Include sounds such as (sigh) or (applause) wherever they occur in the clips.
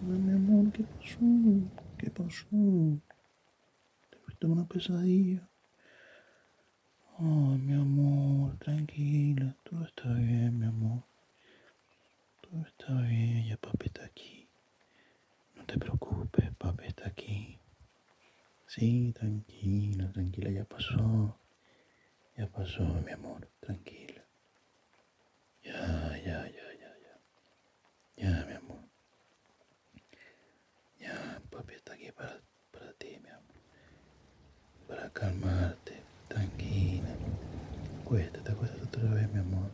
mi amor, ¿qué pasó? ¿Qué pasó? Te una pesadilla. Ay, mi amor, tranquila, todo está bien, mi amor. Todo está bien, ya papi está aquí. No te preocupes, papi está aquí. Sí, tranquila, tranquila, ya pasó. Ya pasó, mi amor, tranquila. Ya, ya, ya, ya, ya. Ya, mi amor. Ya, papi está aquí para, para ti, mi amor para calmarte. Tranquila. Acuéstate, acuéstate otra vez, mi amor.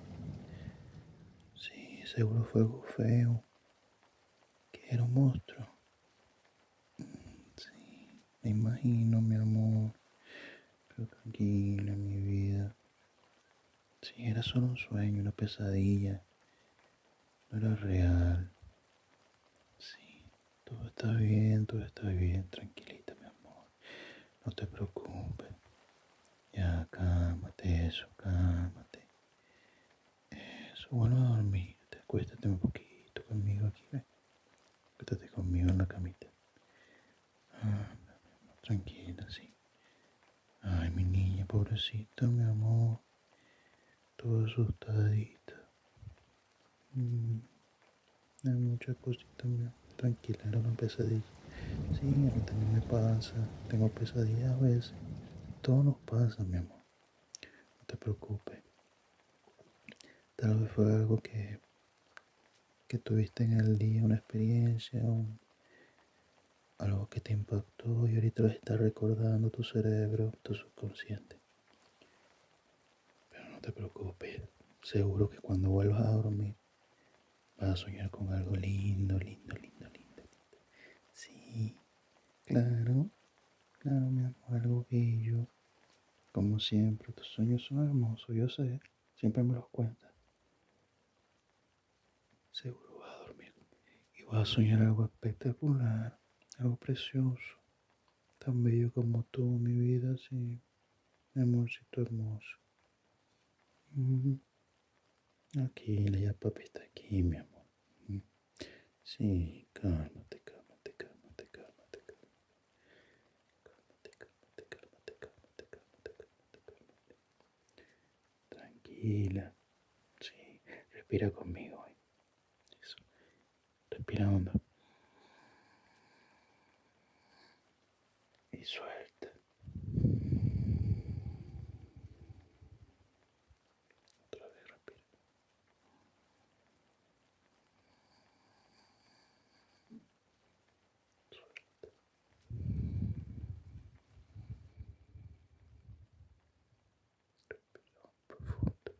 Sí, seguro fue algo feo. Que era un monstruo. Sí, me imagino, mi amor. Pero tranquila, mi vida. Si era solo un sueño, una pesadilla. No era real. Sí, todo está bien, todo está bien. Tranquilita, mi amor. No te preocupes. Ya, cálmate, eso, cálmate. Eso, bueno, a dormir. acuéstate un poquito conmigo aquí, ¿ves? Acuéstate conmigo en la camita. Ah, tranquila, sí. Ay, mi niña, pobrecita, mi amor. Todo asustadito. Mm. Hay muchas cositas tranquila, era una pesadilla Sí, a mí también me pasa. Tengo pesadillas a veces. Todo nos pasa, mi amor. No te preocupes. Tal vez fue algo que, que tuviste en el día, una experiencia, algo que te impactó y ahorita lo está recordando tu cerebro, tu subconsciente. Pero no te preocupes. Seguro que cuando vuelvas a dormir Vas a soñar con algo lindo, lindo, lindo, lindo, lindo. Sí, claro, claro, mi amor, algo bello. Como siempre, tus sueños son hermosos, yo sé, siempre me los cuentas. Seguro vas a dormir y vas a soñar algo espectacular, algo precioso, tan bello como tú, mi vida, sí. Amorcito hermoso. Aquí, la ya papi está aquí, mi amor. Sí, cálmate, cálmate, cálmate, cálmate, cálmate. Cálmate, cálmate, cálmate, cálmate, cálmate, Tranquila. Sí, respira conmigo. Eso. Respira y suelta. Otra vez rápido. Suelta. Respira profundo.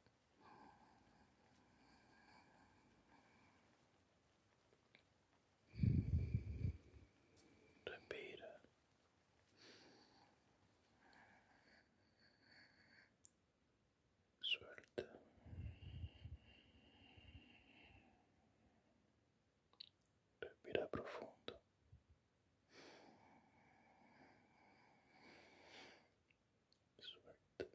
Respira. Suelta. Respira profundo. Suelta.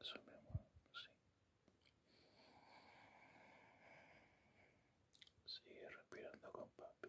Eso mi sí. Sigue respirando con papi.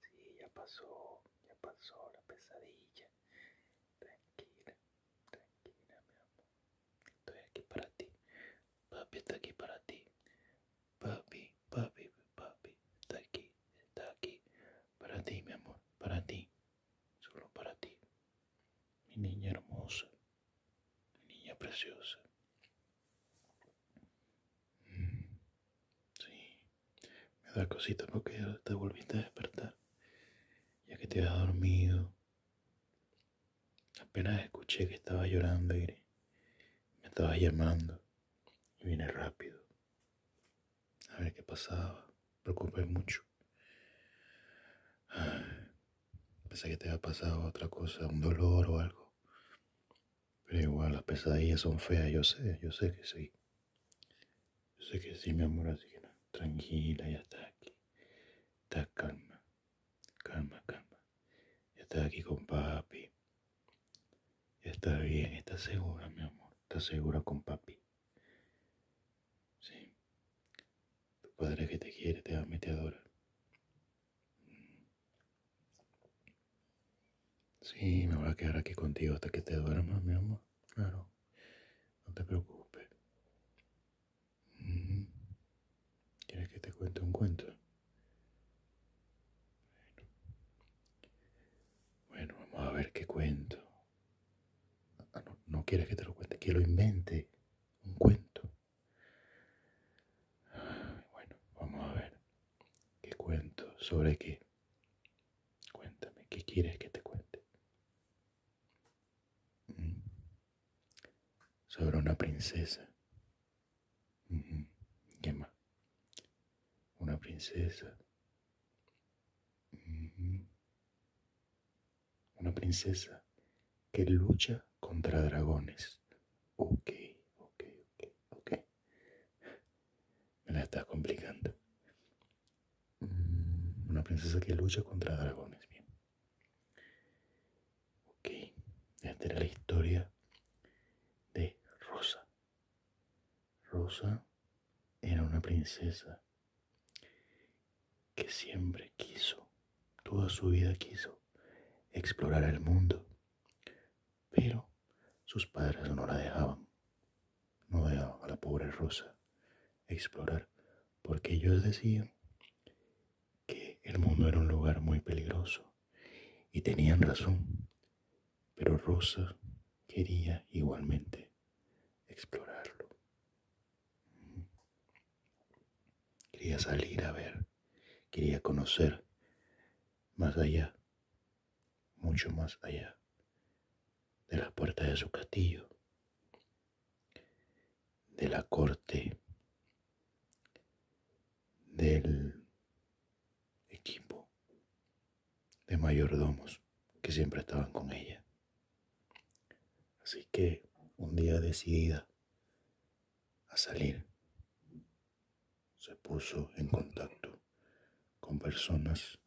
Sí, ya pasó, ya pasó la pesadilla. Tranquila, tranquila, mi amor. Estoy aquí para ti. Papi está aquí para ti. Papi, papi, papi, está aquí, está aquí. Para ti, mi amor, para ti. Solo para ti. Mi niña hermosa, mi niña preciosa. Sí, me da cosita porque te volviste a despertar, ya que te habías dormido. Apenas escuché que estabas llorando, Y Me estabas llamando y vine rápido. A ver qué pasaba. preocupé mucho. Pensé que te había pasado otra cosa, un dolor o algo. Pero igual, las pesadillas son feas, yo sé, yo sé que sí. Yo sé que sí, mi amor, así que no, tranquila, ya está aquí. Está calma, calma, calma. Ya está aquí con papi. Ya está bien, está segura, mi amor, está segura con papi. Sí. Tu padre que te quiere, te ama te adora. Sí, me voy a quedar aquí contigo hasta que te duermas, mi amor. Claro, no te preocupes. Mm. ¿Quieres que te cuente un cuento? Bueno, vamos a ver qué cuento. Ah, no, no quieres que te lo cuente, que lo invente. Un cuento. Ah, bueno, vamos a ver qué cuento sobre qué. Cuéntame, ¿qué quieres que te cuente? Mm. Sobre una princesa. ¿Qué más? Una princesa. Una princesa que lucha contra dragones. Ok, ok, ok, ok. Me la estás complicando. Mm, una princesa que lucha contra dragones, bien. Ok, esta era la historia de Rosa. Rosa era una princesa que siempre quiso, toda su vida quiso, explorar el mundo, pero sus padres no la dejaban. No dejaban a la pobre Rosa explorar, porque ellos decían que el mundo era un lugar muy peligroso. Y tenían razón, pero Rosa quería igualmente explorarlo. Quería salir a ver, quería conocer más allá mucho más allá de las puertas de su castillo, de la corte, del equipo de mayordomos que siempre estaban con ella. Así que un día decidida a salir se puso en contacto con personas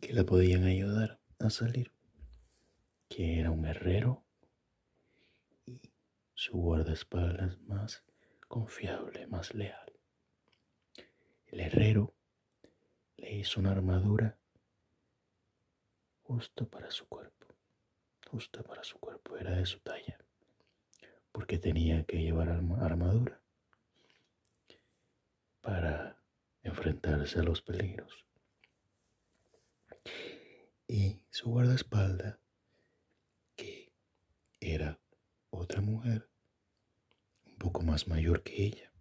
que la podían ayudar a salir, que era un herrero y su guardaespaldas más confiable, más leal. El herrero le hizo una armadura justo para su cuerpo, justa para su cuerpo, era de su talla porque tenía que llevar armadura para enfrentarse a los peligros. Y su guardaespalda, que era otra mujer, un poco más mayor que ella,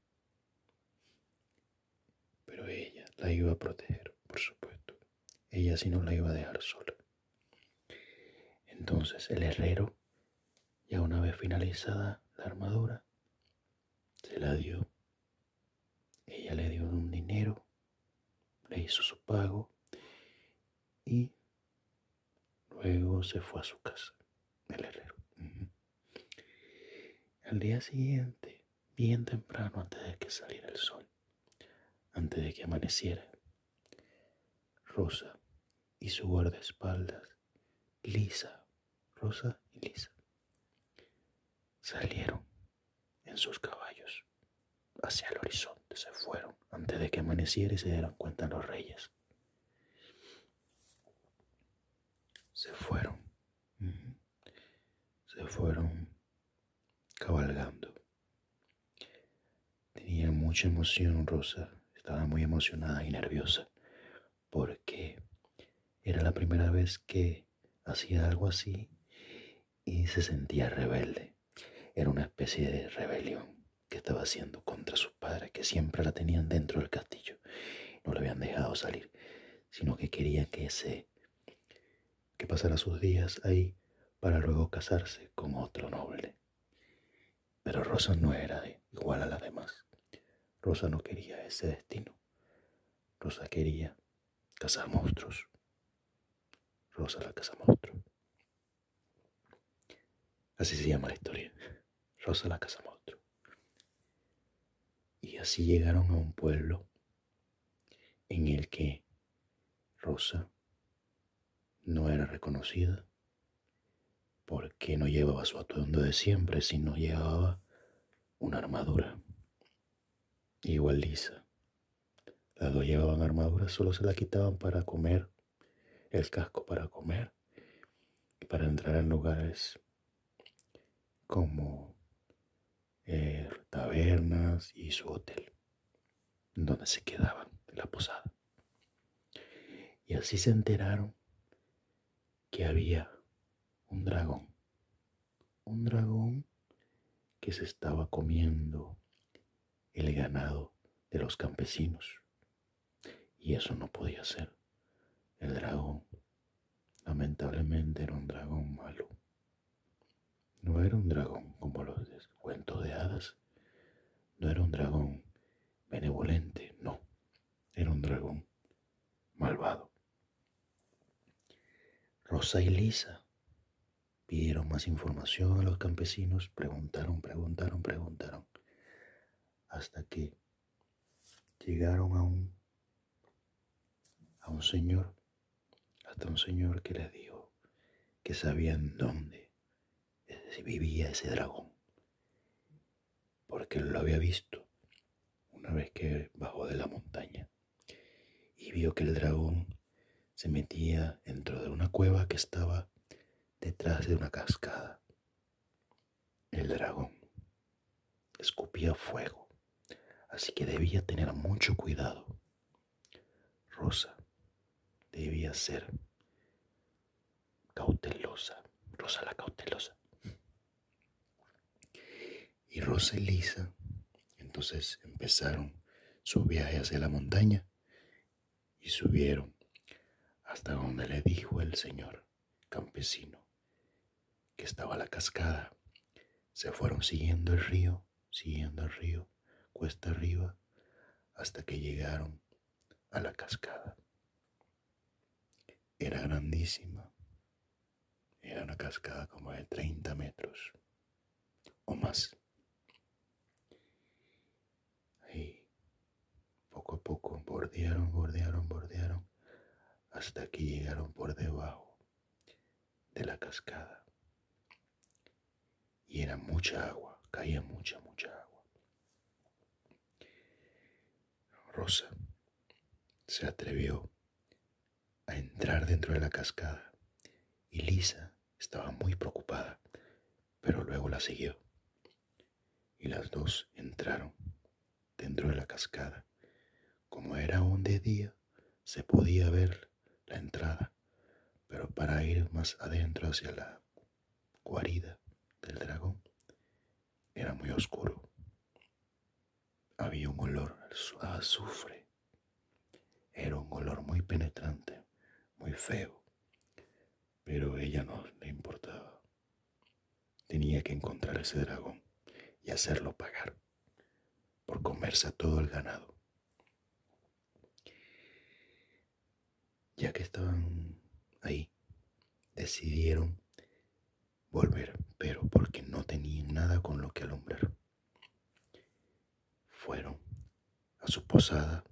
pero ella la iba a proteger, por supuesto. Ella si no la iba a dejar sola. Entonces el herrero, ya una vez finalizada la armadura, se la dio. Ella le dio un dinero, le hizo su pago y luego se fue a su casa, el herrero. Al día siguiente, bien temprano, antes de que saliera el sol, antes de que amaneciera, Rosa y su guardaespaldas, lisa, rosa y lisa. Salieron en sus caballos hacia el horizonte, se fueron antes de que amaneciera y se dieron cuenta los reyes. Se fueron, se fueron cabalgando. Tenía mucha emoción Rosa, estaba muy emocionada y nerviosa, porque era la primera vez que hacía algo así y se sentía rebelde. Era una especie de rebelión que estaba haciendo contra sus padres, que siempre la tenían dentro del castillo, no le habían dejado salir, sino que quería que que pasara sus días ahí para luego casarse con otro noble. Pero Rosa no era igual a las demás. Rosa no quería ese destino. Rosa quería cazar monstruos. Rosa la casa monstruo. Así se llama la historia. Rosa la casa monstruo. Y así llegaron a un pueblo en el que Rosa no era reconocida porque no llevaba su atuendo de siempre si no llevaba una armadura? Igual lisa. Las dos llevaban armaduras. solo se la quitaban para comer, el casco para comer y para entrar en lugares como eh, tabernas y su hotel, donde se quedaban, en la posada. Y así se enteraron que había un dragón. Un dragón que se estaba comiendo el ganado de los campesinos. Y eso no podía ser. El dragón, lamentablemente, era un dragón malo. No era un dragón como los cuentos de hadas, no era un dragón benevolente, no, era un dragón malvado. Rosa y Lisa pidieron más información a los campesinos, preguntaron, preguntaron, preguntaron, hasta que llegaron a un, a un señor, hasta un señor que les dijo que sabían dónde vivía ese dragón. Porque lo había visto una vez que bajó de la montaña y vio que el dragón se metía dentro de una cueva que estaba detrás de una cascada. El dragón escupía fuego, así que debía tener mucho cuidado. Rosa debía ser cautelosa, Rosa la cautelosa. Y Rosa y Lisa entonces empezaron su viaje hacia la montaña y subieron hasta donde le dijo el señor campesino que estaba la cascada. Se fueron siguiendo el río, siguiendo el río, cuesta arriba, hasta que llegaron a la cascada. Era grandísima. Era una cascada como de 30 metros o más. Y poco a poco, bordearon, bordearon, bordearon, hasta que llegaron por debajo de la cascada y era mucha agua, caía mucha, mucha agua. Rosa se atrevió a entrar dentro de la cascada y Lisa estaba muy preocupada, pero luego la siguió. Y las dos entraron dentro de la cascada. Como era un de día, se podía ver la entrada, pero para ir más adentro hacia la cuarida del dragón era muy oscuro. Había un olor a azufre. Era un olor muy penetrante, muy feo. Pero ella no le importaba. Tenía que encontrar ese dragón y hacerlo pagar por comerse a todo el ganado ya que estaban ahí, decidieron volver, pero porque no tenían nada con lo que alumbrar. Fueron a su posada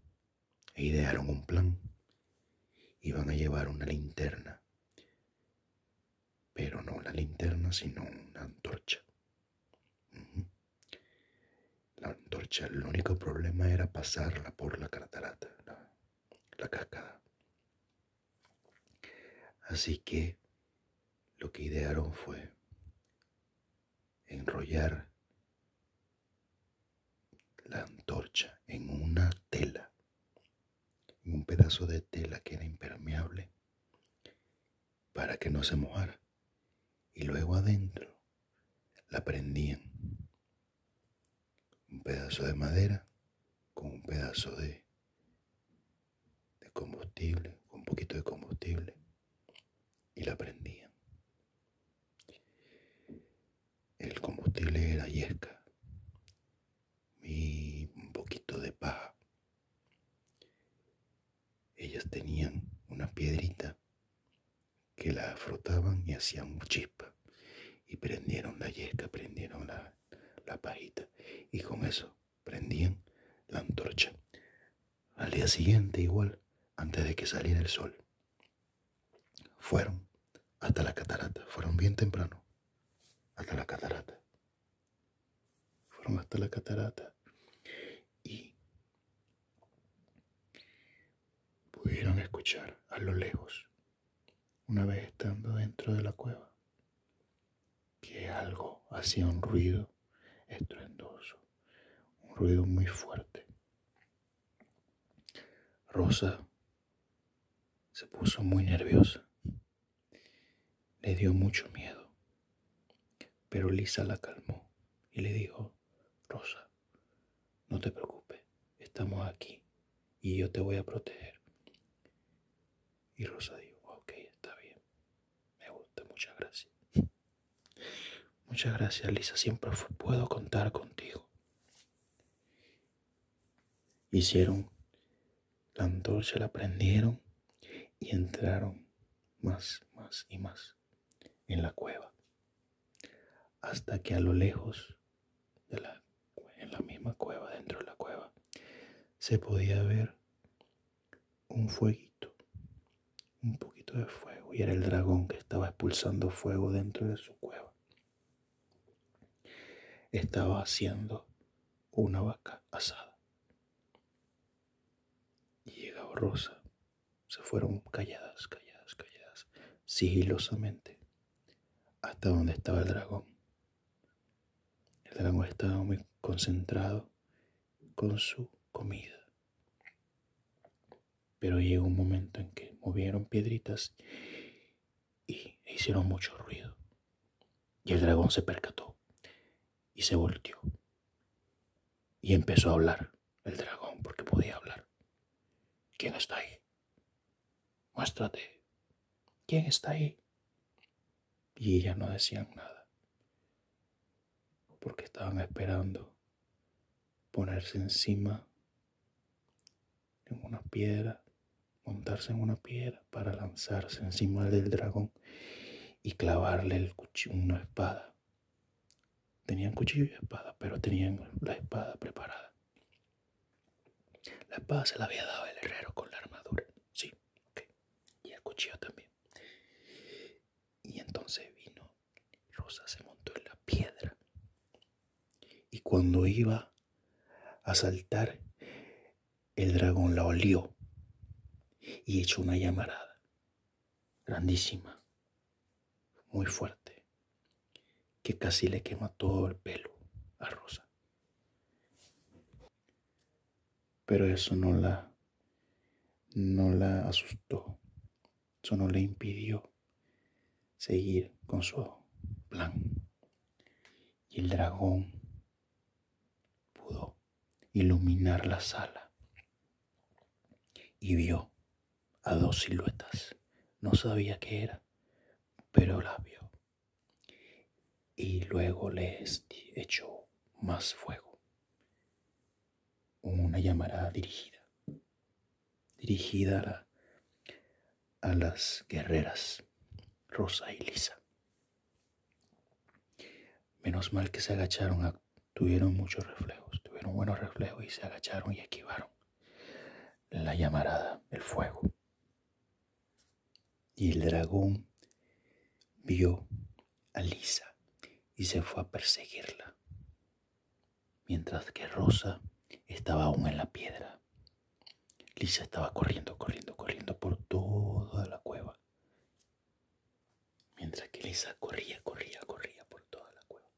e idearon un plan. Iban a llevar una linterna, pero no una linterna, sino una antorcha la antorcha, el único problema era pasarla por la catarata, la, cascada. Así que lo que idearon fue enrollar la antorcha en una tela, en un pedazo de tela que era impermeable para que no se mojara. Y luego adentro la prendían un pedazo de madera con un pedazo de, combustible, con un poquito de combustible, y la prendían. El combustible era yesca y un poquito de paja. Ellas tenían una piedrita que la frotaban y hacían chispa. Y prendieron la yesca, prendieron la, la pajita. Y con eso prendían la antorcha. Al día siguiente igual, antes de que saliera el sol. Fueron hasta la catarata. Fueron bien temprano. Hasta la catarata. Fueron hasta la catarata. Y Pudieron escuchar a lo lejos, una vez estando dentro de la cueva, que algo hacía un ruido estruendoso, un ruido muy fuerte. Rosa se puso muy nerviosa, le dio mucho miedo, pero Lisa la calmó y le dijo, Rosa, no te preocupes, estamos aquí y yo te voy a proteger. Y Rosa dijo, ok, está bien, me gusta, muchas gracias. (laughs) Muchas gracias, Lisa, siempre puedo contar contigo. Hicieron la antorcha, la prendieron y entraron más, más y más en la cueva hasta que a lo lejos, en la misma cueva, dentro de la cueva, se podía ver un fueguito, un poquito de fuego, y era el dragón que estaba expulsando fuego dentro de su cueva. Estaba haciendo una vaca asada. Y llegaba Rosa se fueron calladas, calladas, calladas, sigilosamente, hasta donde estaba el dragón. El dragón estaba muy concentrado con su comida. Pero llegó un momento en que movieron piedritas y hicieron mucho ruido. Y el dragón se percató y se volteó. Y empezó a hablar el dragón porque podía hablar. ¿Quién está ahí? Muéstrate. ¿Quién está ahí? Y ella no decían nada, porque estaban esperando ponerse encima de una piedra, montarse en una piedra para lanzarse encima del dragón y clavarle el cuchillo, una espada. Tenían cuchillo y espada, pero tenían la espada preparada. La espada se la había dado el herrero con la armadura. Sí, Y el cuchillo también. Y entonces vino Rosa, se montó en la piedra. Y cuando iba a saltar, el dragón la olió y echó una llamarada grandísima muy fuerte que casi le quema todo el pelo a Rosa. Pero eso no la no la asustó. Eso no le impidió seguir con su plan. Y el dragón pudo iluminar la sala y vio a dos siluetas. No sabía qué era, pero la vio. Y luego les echó más fuego. Una llamarada dirigida. Dirigida a, a las guerreras, Rosa y Lisa. Menos mal que se agacharon, tuvieron muchos reflejos, tuvieron buenos reflejos y se agacharon y esquivaron la llamarada, el fuego. Y el dragón vio a Lisa y se fue a perseguirla, mientras que Rosa estaba aún en la piedra. Lisa estaba corriendo, corriendo, corriendo por toda la cueva. Mientras que Lisa corría, corría, corría por toda la cueva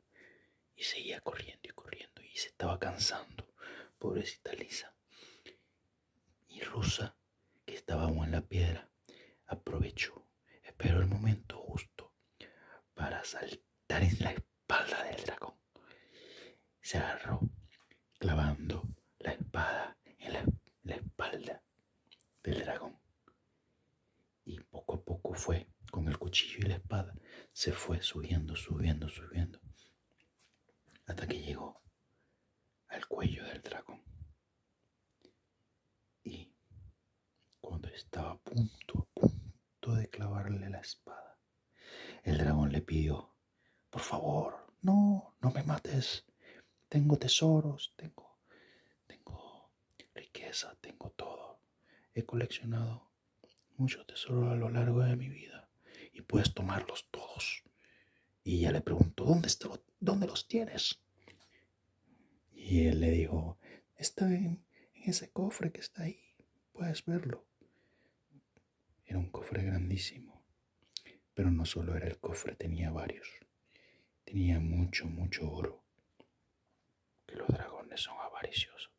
y seguía corriendo y corriendo y se estaba cansando, pobrecita Lisa. Y Rusa, que estaba aún en la piedra, aprovechó, esperó el momento justo para saltar en la espalda del dragón. Se agarró clavando la espada en la, la espalda del dragón y poco a poco fue con el cuchillo y la espada, se fue subiendo, subiendo, subiendo, hasta que llegó al cuello del dragón. Y cuando estaba a punto, a punto de clavarle la espada, el dragón le pidió, por favor, no, no me mates, tengo tesoros, tengo, tengo riqueza, tengo todo, he coleccionado mucho, tesoro a lo largo de mi vida y puedes tomarlos todos. Y ya le preguntó, ¿dónde, dónde los tienes? Y él le dijo, está en ese cofre que está ahí, puedes verlo. Era un cofre grandísimo, pero no solo era el cofre, tenía varios. Tenía mucho, mucho oro que los dragones son avariciosos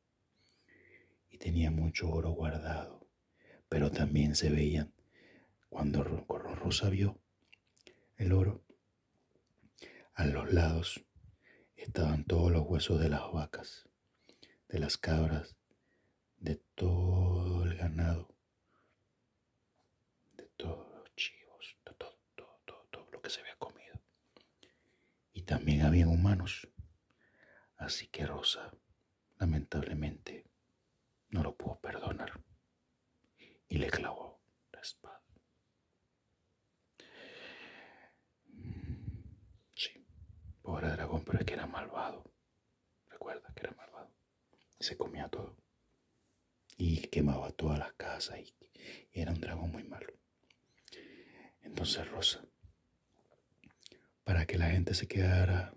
y tenía mucho oro guardado, pero también se veían cuando Rosa vio el oro. A los lados estaban todos los huesos de las vacas, de las cabras, de todo el ganado, de todos los chivos, de todo, todo, todo, todo lo que se había comido y también habían humanos. Así que Rosa, lamentablemente, no lo pudo perdonar y le clavó la espada. Mm, sí, pobre dragón, pero es que era malvado. Recuerda que era malvado. Se comía todo y quemaba todas las casas y era un dragón muy malo. Entonces, Rosa, para que la gente se quedara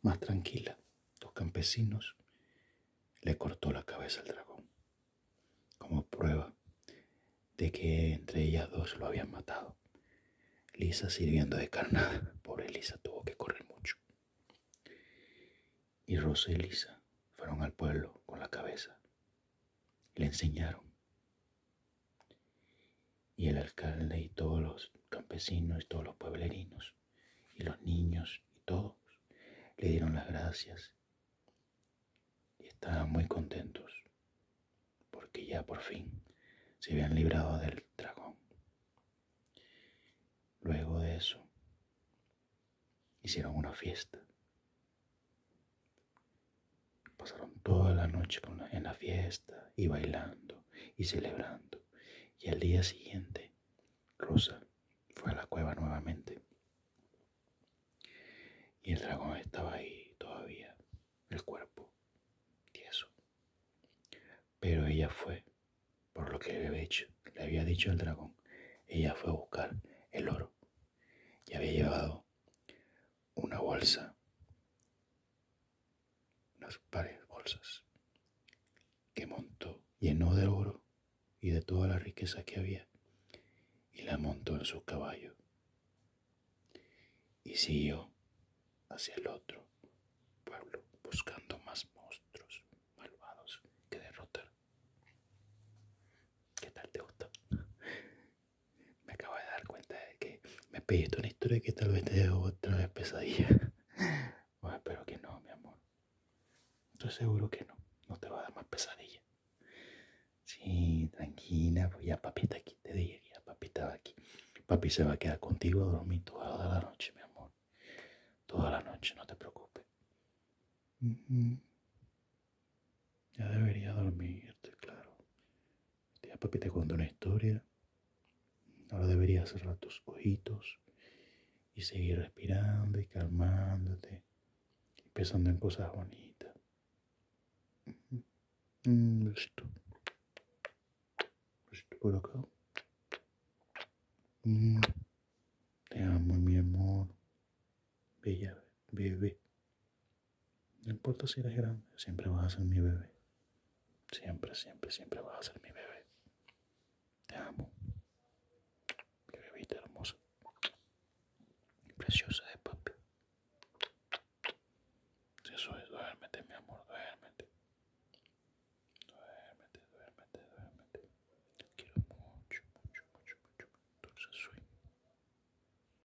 más tranquila, los campesinos le cortó la cabeza al dragón, como prueba de que entre ellas dos lo habían matado. Lisa sirviendo de carnada. Pobre Lisa tuvo que correr mucho. Y Rosa y Lisa fueron al pueblo con la cabeza. Le enseñaron y el alcalde y todos los campesinos y todos los pueblerinos y los niños y todos le dieron las gracias y estaban muy contentos porque ya por fin se habían librado del dragón. Luego de eso, hicieron una fiesta Pasaron toda la noche en la fiesta y bailando y celebrando. Y al día siguiente, Rosa fue a la cueva nuevamente. Y el dragón estaba ahí todavía, el cuerpo tieso. Pero ella fue, por lo que le había le había dicho el dragón, ella fue a buscar el oro y había llevado una bolsa, unas pares bolsas, que montó, llenó de oro y de toda la riqueza que había, y la montó en su caballo, y siguió hacia el otro pueblo buscando más monstruos malvados que derrotar. ¿Qué tal te gusta? me acabo de dar cuenta de que me pediste una historia que tal vez te dé otra vez pesadilla. (laughs) bueno, espero que no, mi amor. Estoy seguro que no. No te va a dar más pesadilla. Sí, tranquila, pues ya papi está aquí, te diría. papi estaba aquí. Papi se va a quedar contigo a dormir toda la noche, mi amor. Toda la noche, no te preocupes. Ya debería dormirte, claro. Ya papi te contó una historia. Ahora deberías cerrar tus ojitos y seguir respirando y calmándote y pensando en cosas bonitas. Mm, mm, mm. Te amo, mi amor. Bella bebé. No importa si eres grande, siempre vas a ser mi bebé. Siempre, siempre, siempre vas a ser mi bebé. Te amo. Mi bebita hermosa. Preciosa de papi. Eso es, duérmete, mi amor, duérmete. Duérmete, duérmete, duérmete. Te quiero mucho, mucho, mucho, mucho. Dulce soy.